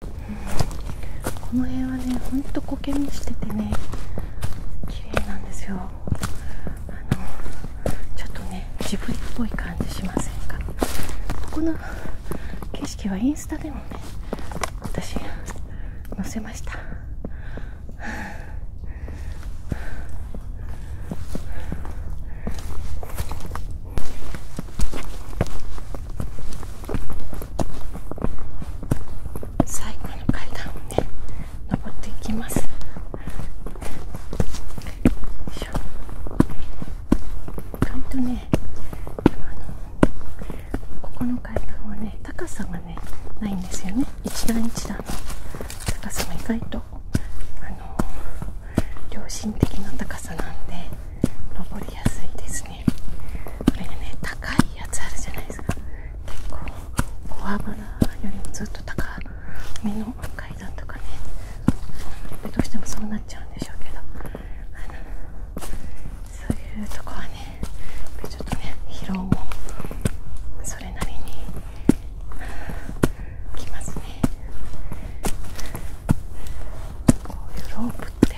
この辺はねほんと苔もしててね綺麗なんですよあのちょっとねジブリっぽい感じしませんかここの景色はインスタでもね私載せました最後の階段をね登っていきます意外とねあのここの階段はね高さがねないんですよね一段一段の高さが意外とあの良心的な高さなんで登りやすいですね。これね高いやつあるじゃないですか結構小幅なよりもずっと高めの階段とかねどうしてもそうなっちゃうんでしょうけどあのそういうとこはねちょっとね疲労もそれなりにきますね。こういうロープって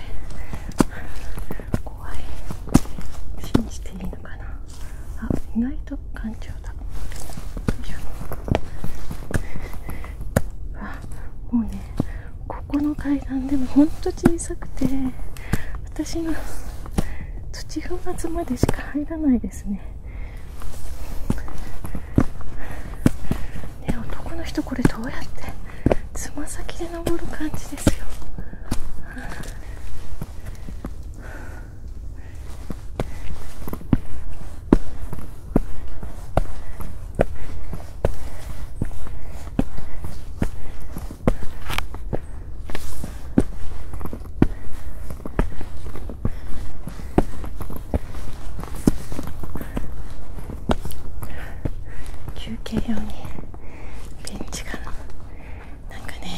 怖い信じていいのかなあ意外と頑丈だよいあもうねここの階段でもほんと小さくて私の土踏まずまでしか入らないですねね男の人これどうやってつま先で登る感じですよあ休憩用にベンチがなんかね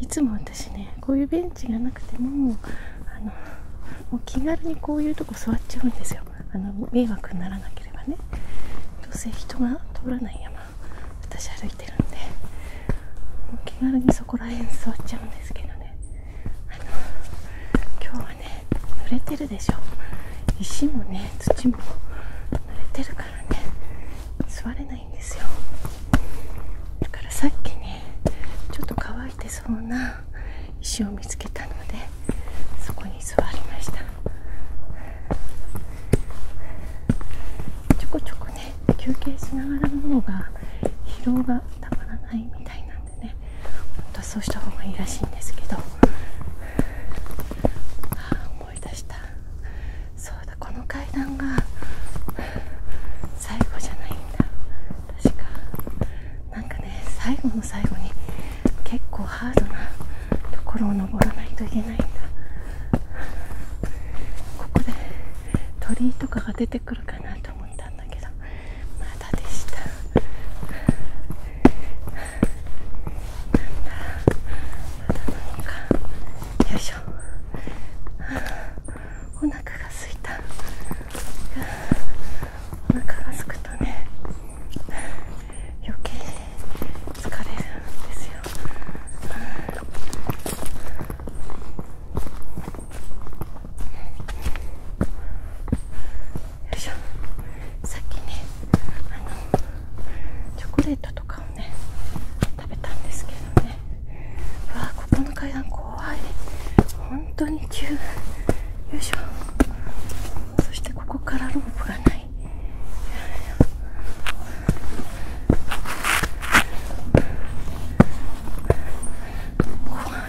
いつも私ねこういうベンチがなくてもあのもう気軽にこういうとこ座っちゃうんですよあの迷惑にならなければねどうせ人が通らない山私歩いてるんでもう気軽にそこら辺座っちゃうんですけどねあの今日ははね濡れてるでしょ石もね土も濡れてるからね座れないんですよだからさっきねちょっと乾いてそうな石を見つけたのでそこに座りましたちょこちょこね休憩しながらの方が疲労がたまらないみたいなんでねほんとそうした方がいいらしいんですけど思い出したそうだこの階段が最後じゃないんだ確かなんかね最後の最後に結構ハードなところを登らないといけないんだここで鳥居とかが出てくるかなと思ったんだけどまだでしたまだ何かよいしょお腹がすいたお腹がすくとね余計疲れるんですよいしょさっきねあのチョコレートとかをね食べたんですけどねうわここの階段怖い本当に急よいしょそしてここからロープがない怖い。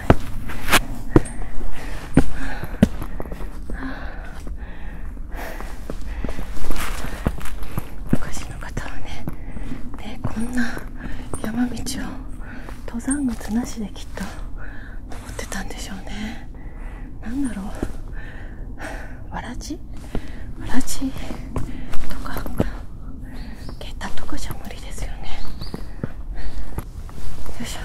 ああ昔の方はねこんな山道を登山靴なしできっと登ってたんでしょうね何だろうわらじわらじとか下駄とかじゃ無理ですよねよいしょ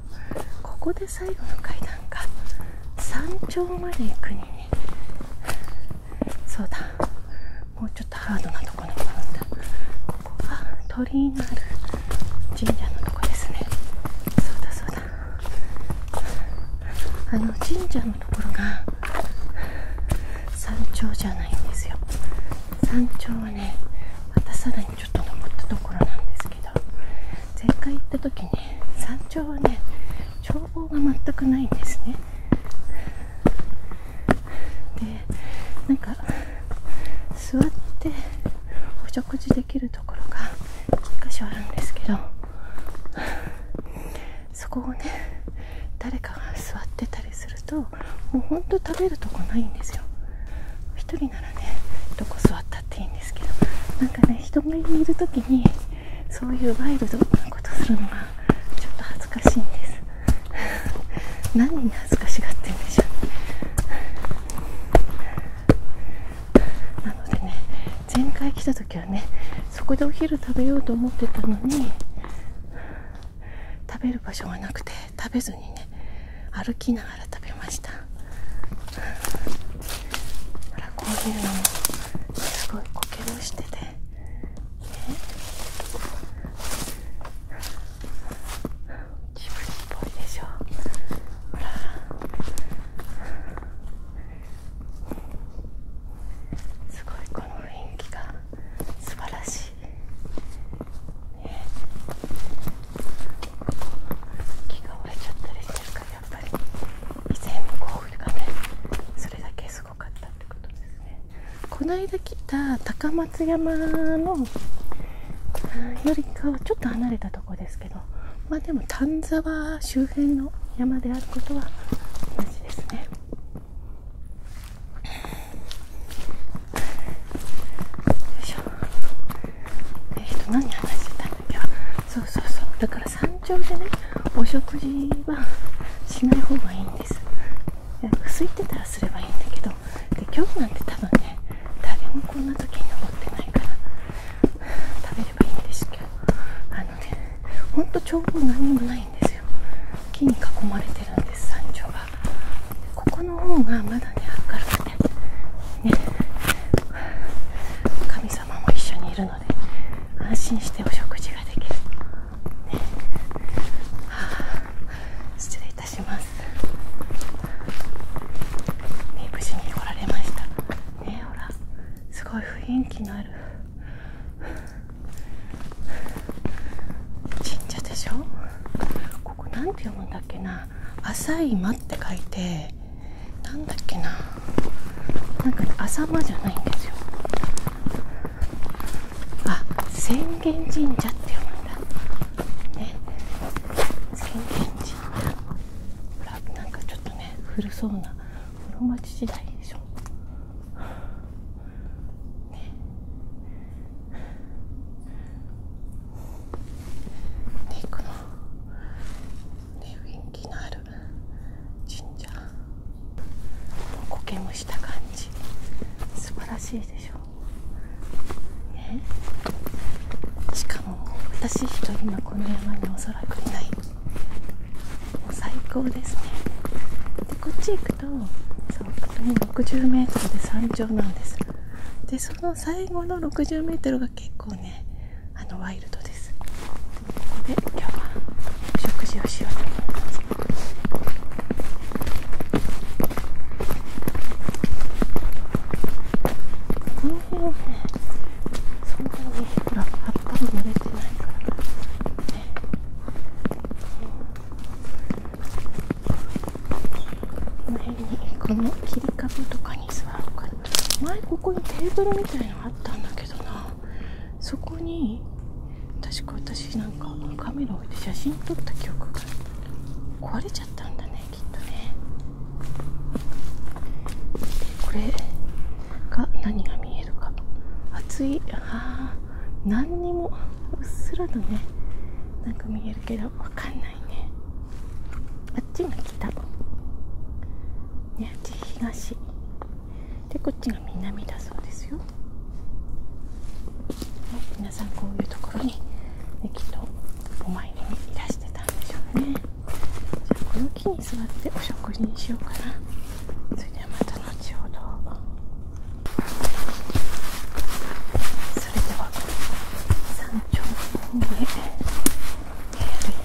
ここで最後の階段か山頂まで行くにねそうだもうちょっとハードなとこに登るんだここが鳥居のある神社のとこですねそうだそうだあの神社のところが山頂じゃないんですよ山頂はねまたさらにちょっと登ったところなんですけど前回行った時に山頂はね眺望が全くないんですねでなんか座ってお食事できるところが1箇所あるんですけどそこをね誰かが座ってたりするともうほんと食べるとこないんですよ1人ならねどこったっていいんですけどなんかね人がいる時にそういうワイルドなことするのがちょっと恥ずかしいんです 何に恥ずかしがってんでしょうなのでね前回来た時はねそこでお昼食べようと思ってたのに食べる場所がなくて食べずにね歩きなほらこういうのもすごいこけをしてて、ね、っすごいこの雰囲気が素晴らしい、ね、木が折れちゃったりしてるからやっぱり以前のゴールがねそれだけすごかったってことですねこないだ来た高松山のよりかはちょっと離れたとこですけどまあでも丹沢周辺の山であることは同じですねよいしょえ何話してたんだっけそうそうそうだから山頂でねお食事はしない方がいいんです空いてたらすればいいんだけどで今日なんて多分ね誰もこんな時に登ってないから食べればいいんですけどあのねほんと眺望何もないんですよ木に囲まれてるんです山頂がここの方がまだね明るくてね神様も一緒にいるので安心してお食事ができる、失礼いたします、ね、すごい雰囲気のある神社でしょここなんて読むんだっけな「浅い間」って書いてれなんだっけななんかね浅間じゃないんですよあ浅間神社って読むんだね浅間神社ほらなんかちょっとね古そうな室町時代でしょねでこの雰囲気のある神社苔もした感じ素晴らしいでしょ、う。ね、しかも私一人今この山におそらくいないもう最高ですねでこっち行くとそうも 60m で山頂なんですでその最後の 60m が結構ねあのワイルドですで今日お食事をしようと思いますこの辺にねこの辺にこの切り株とかに座ろうかな前ここにテーブルみたいなあったんだけどなそこに確か私なんかカメラ置いて写真撮った記憶が壊れちゃったんだねきっとねこれが何が見えるか熱いあ何にもうっすらとねなんか見えるけどわかんないねあっちが北ねあっち東でこっちが南だそうですよ、ね、皆さんこういうところに、ね、きっとお参りにいらしてたんでしょうねじゃあこの木に座ってお食事にしようかなそれではまた後ほどそれでは山頂の方へ歩い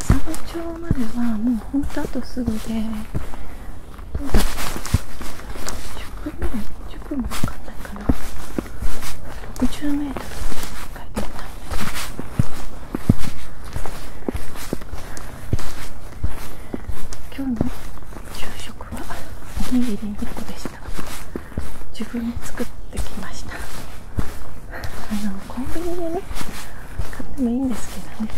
佐ブ町まではもうほんとあとすぐでどうだろう10分ぐらい1分もかかんないかな 60m 書いてあった今日の昼食はおにぎり2個でした自分で作ってきましたあのコンビニでね買ってもいいんですけどね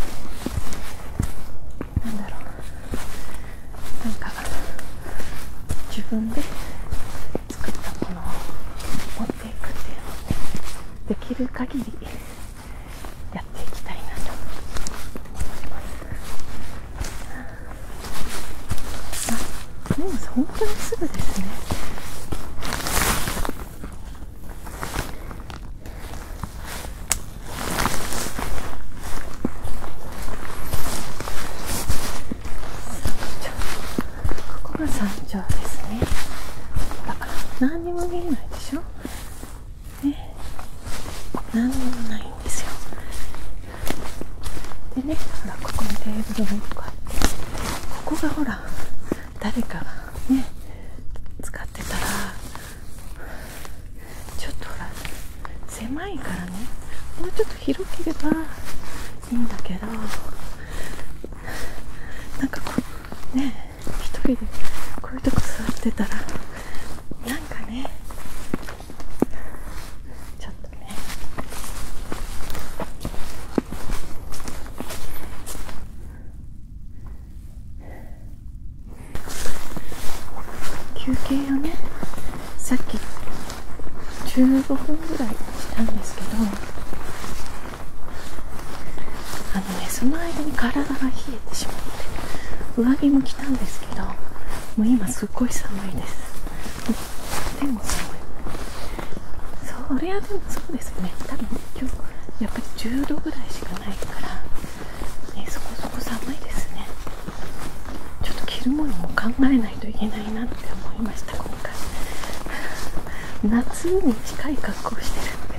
なんだろうなんか自分で作ったものを持っていくっていうのを、ね、できる限りやっていきたいなと思います。も本当にすぐですねここが山頂ですねほら何にも見えないでしょね何にもないんですよでねほらここにテーブルが一個あってここがほら誰かね使ってたらちょっとほら狭いからねもうちょっと広ければいいんだけどなんかこうね1人でこういうとこ座ってたらなんかねちょっとね休憩をねさっき15分ぐらいしたんですけどあのねその間に体が冷えてしまって上着も着たんですけどもう今すっごい寒いですでも寒いそりゃでもそうですね多分今日やっぱり10度ぐらいしかないから、ね、そこそこ寒いですねちょっと着るものも考えないといけないなって思いました今回夏に近い格好してるんで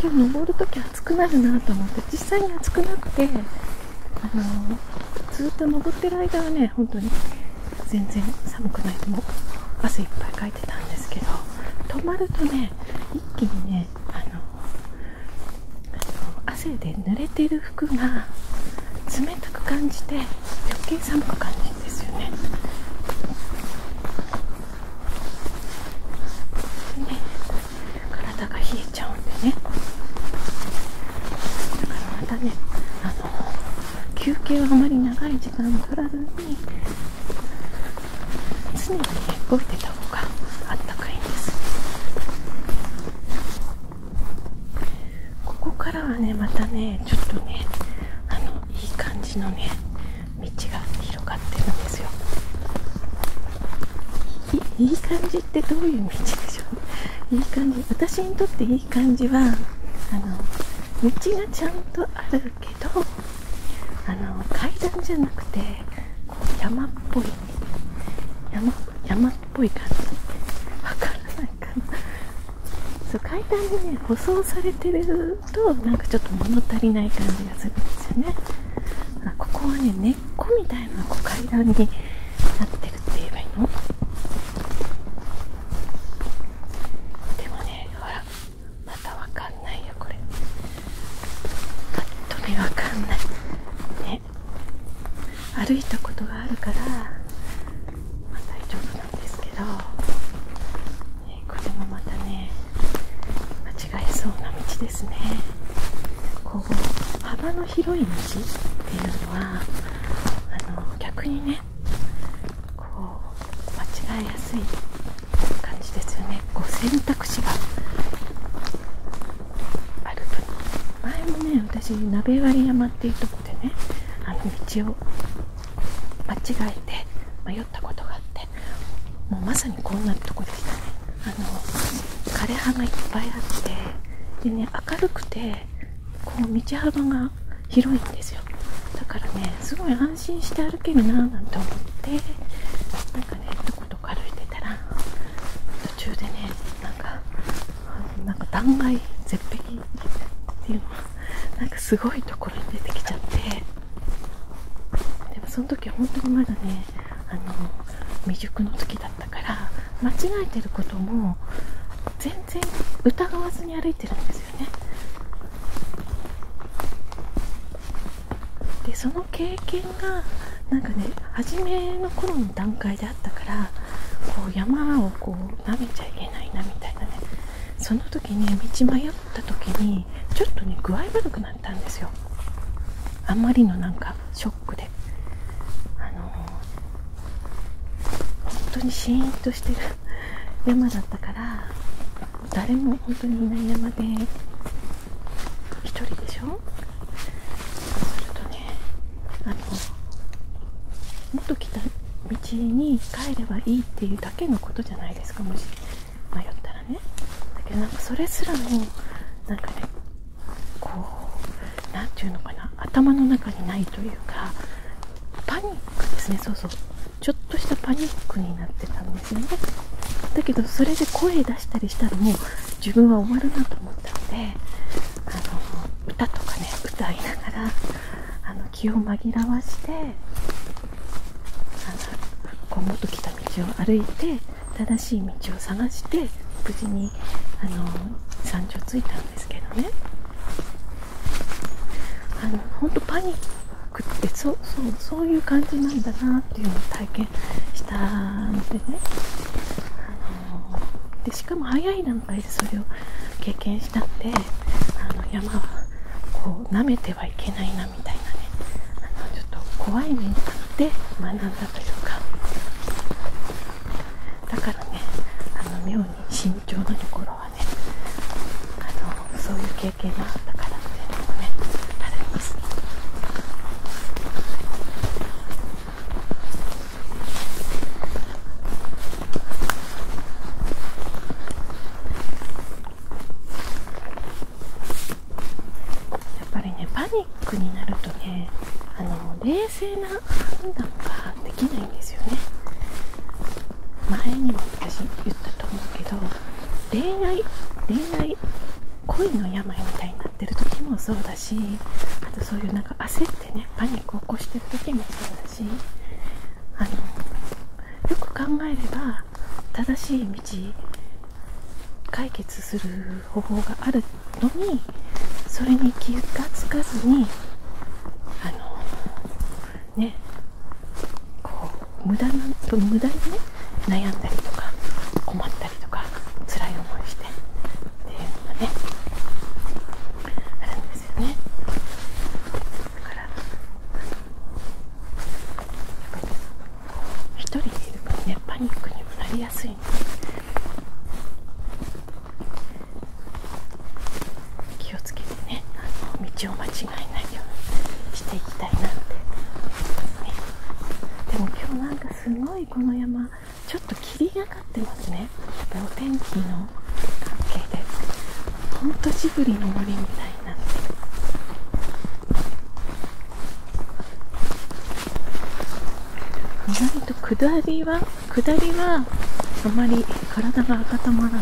今日登る時暑くなるなと思って実際に暑くなってあのずっと登ってる間はね本当に全然寒くないでも汗いっぱいかいてたんですけど止まるとね一気にねあの汗で濡れてる服が冷たく感じて余計寒く感じるんですよね。ね体が冷えちゃうんでねだからまたね休憩はあまり長い時間取らずに常に動いてた方があったかいんですここからはねまたねちょっとねあのいい感じのね道が広がってるんですよいい感じってどういう道でしょういい感じ私にとっていい感じはあの道がちゃんとあるるけどあの階段じゃなくてこう山っぽい山山っぽい感じわからないかなそう階段にね舗装されてるとなんかちょっと物足りない感じがするんですよねここはね根っこみたいなこう階段になってるって言えばいいのでもねほらまたわかんないよこれぱっと見わかんないね歩いたことがあるから、大丈夫なんですけど、ね、これもまたね間違えそうな道ですねこう幅の広い道っていうのはあの逆にねこう間違えやすい感じですよねこ選択肢があると前もね私鍋割山っていうとこでねあの道を間違えて迷ったことがあってもうまさにこんなとこでしたねあの枯れ葉がいっぱいあってでね明るくてこう道幅が広いんですよだからねすごい安心して歩けるななんて思ってなんかねどことか歩いてたら途中でねなんかなんか断崖絶壁っていうのなんかすごいところに出てきちゃってでもその時は本当にまだねあの未熟の時だったから間違えてることも全然疑わずに歩いてるんですますねでその経験がなんかね初めの頃の段階であったからこう山をこうなめちゃいけないなみたいなねその時に道迷った時にちょっとね具合悪くなったんですよあんまりのなんかショックであのー、本当にシーンとしてる山だったから誰も本当にいない山で1人でしょそうするとねあのもっと来た道に帰ればいいっていうだけのことじゃないですかもし迷ったらねだけどなんかそれすらもなんかねこう何て言うのかな頭の中にないというかパニックですねそうそうちょっとしたパニックになってたんですねだけどそれで声出したりしたらもう自分は終わるなと思ったのであの歌とかね歌いながらあの気を紛らわしてあのこう元来た道を歩いて正しい道を探して無事にあの山頂着いたんですけどねあの本当パニッくってそうそうそういう感じなんだなっていうのを体験したのでね、あのでしかも早い段階でそれを経験したんであの山はこう舐めてはいけないなみたいなねあのちょっと怖い面で学んだというかだからね妙に慎重なところそういう経験があったからっていうのもまやっぱりねパニックになるとねあの冷静な判断ができないんですよね前にも私言ったと思うけど恋愛恋愛恋の病みたいになってる時もそうだしあとそういうなんか焦ってねパニックを起こしてる時もそうだしあのよく考えれば正しい道解決する方法があるのにそれに気が付かずにあのねこう無駄なそ無駄にね悩んだりとか困ったりとか辛い思いしてっていうのがねあるんですよねだからやっぱりね。1人でいる分ねパニックにもなりやすいんで気気をつけてねあの道を間違えないようにしていきたいなって、ね、でも今日なんかすごいこの山ちょっと霧がかってますねやっぱりお天気の関係でほんとジブリの森みたいになって意外と下りは下りはあまり体が温まら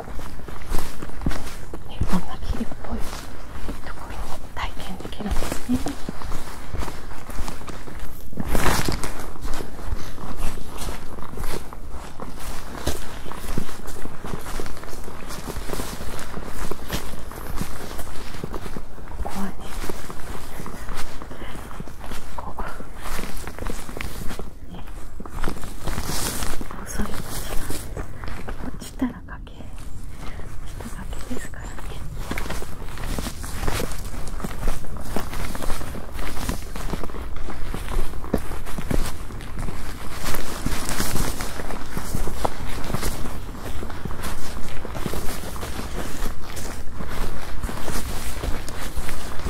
もこんな霧っぽいところも体験できるんですね。ここはねそいうこと落ちたら崖落ちた崖ですからね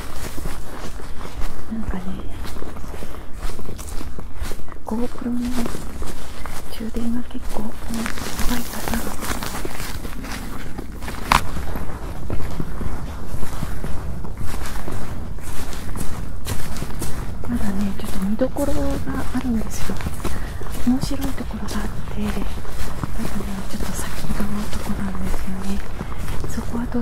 なんかね GoPro の充電が結構弱いかまだねちょっと見どころがあるんですよ面白いところがあってまだねちょっと先のとなんですよねそこはど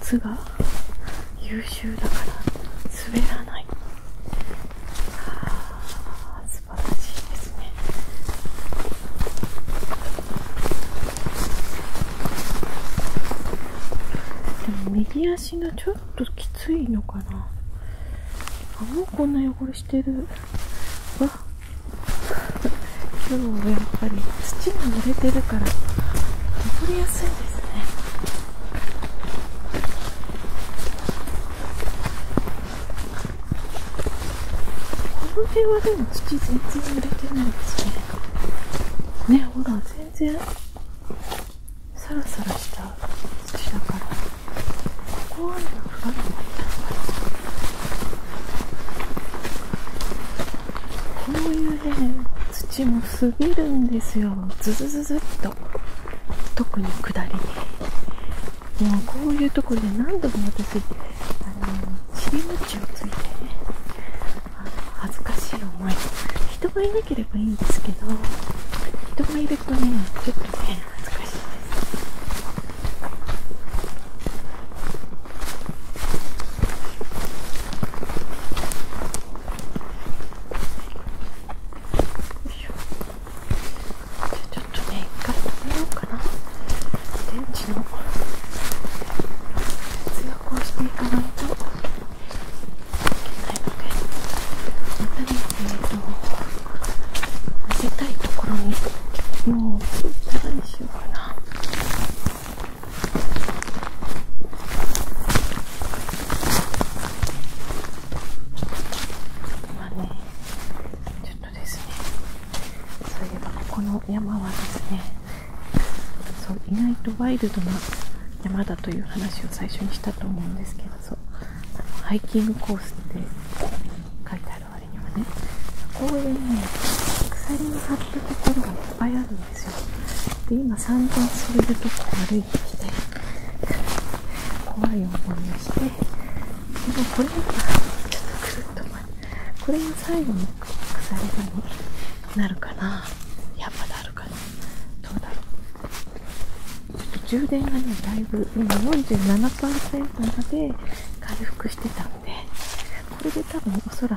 靴が優秀だから滑らないあ素晴らしいですねでも右足がちょっときついのかなあもうこんな汚れしてるわ今日はやっぱり土に濡れてるから登りやすいですねこの辺はでも土全然濡れてないですねねほら全然サラサラした土だからここは雨が降らなかったのかこういうね土も滑るんですよずずずっと特に下りにもうこういうところで何度も私あの尻餅をついてねあの恥ずかしい思い人がいなければいいんですけど人がいるとねちょっとね恥ずかしいですちょっとね一回食べようかな電池の節約をしていかないといけないのでまたね。りえっ、ー、とたいところにもうさらにしようかな。今ねちょっとですねそういえばここの山はですねそう意外とワイルドな山だという話を最初にしたと思うんですけどそうハイキングコースって書いてある割にはねこういうね鎖の張ったところがいっぱいあるんですよ。で今散々それるとこ悪いてきて怖い思いをしてでもこれがちょっとくるっとこれが最後の腐り場になるかなやっぱなるかなどうだろうちょっと充電がねだいぶ今47%まで回復してたんでこれで多分おそら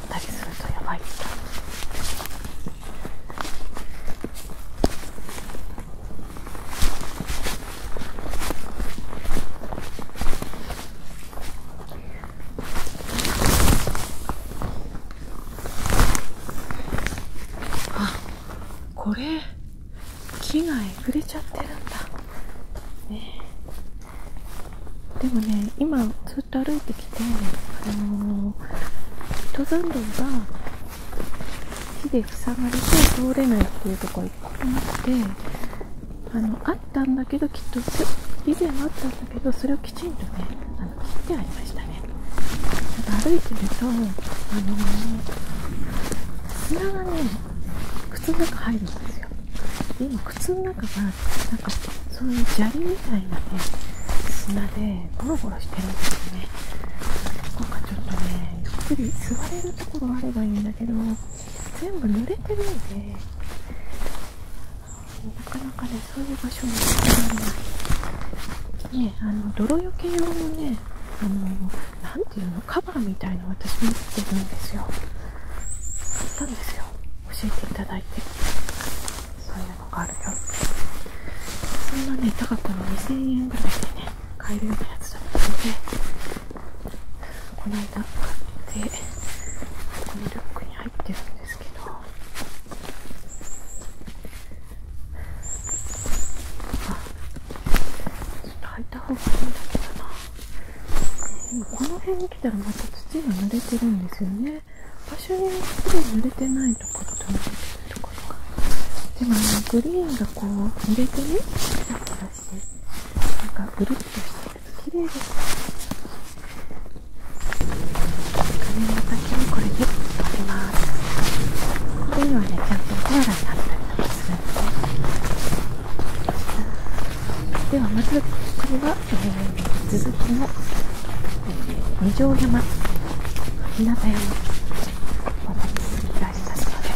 でこれ木がえぐれちゃってるんだでもね今通歩いてきて、あの登山道が木で塞がれて通れないっていうところがいっぱいあってあのあったんだけどきっと以前あったんだけどそれをきちんとねあの切ってありましたねなんか歩いてると、あのー、砂が靴の中入るんですよ今靴の中がなんかそういう砂利みたいなね砂でゴロゴロしてるんですよねなんかちょっとねゆっくり座れるところあればいいんだけど全部濡れてるんでなかなかねそういう場所に行ってないねあの泥よけ用のねあの何ていうのカバーみたいな私持ってるんですよ買ったんですよ教えていただいてなのるよそんなね高くの2000円ぐらいでね買えるようなやつだったのでこの間買ってこのリュックに入ってるんですけどあちょっと履いた方がいいだけどなこの辺に来たらまた土が濡れてるんですよね場所にすごい濡れてないところと濡ってるところがでもねグリーンがこう濡れてねサラサラしてなんかぐるっとしてると綺麗です髪の先にこれギュりますこういはねちゃんとコアラになったりとかするんですねではまずこれは、えー、続きのえー、二条山日向山渡りすぎらしさそうです。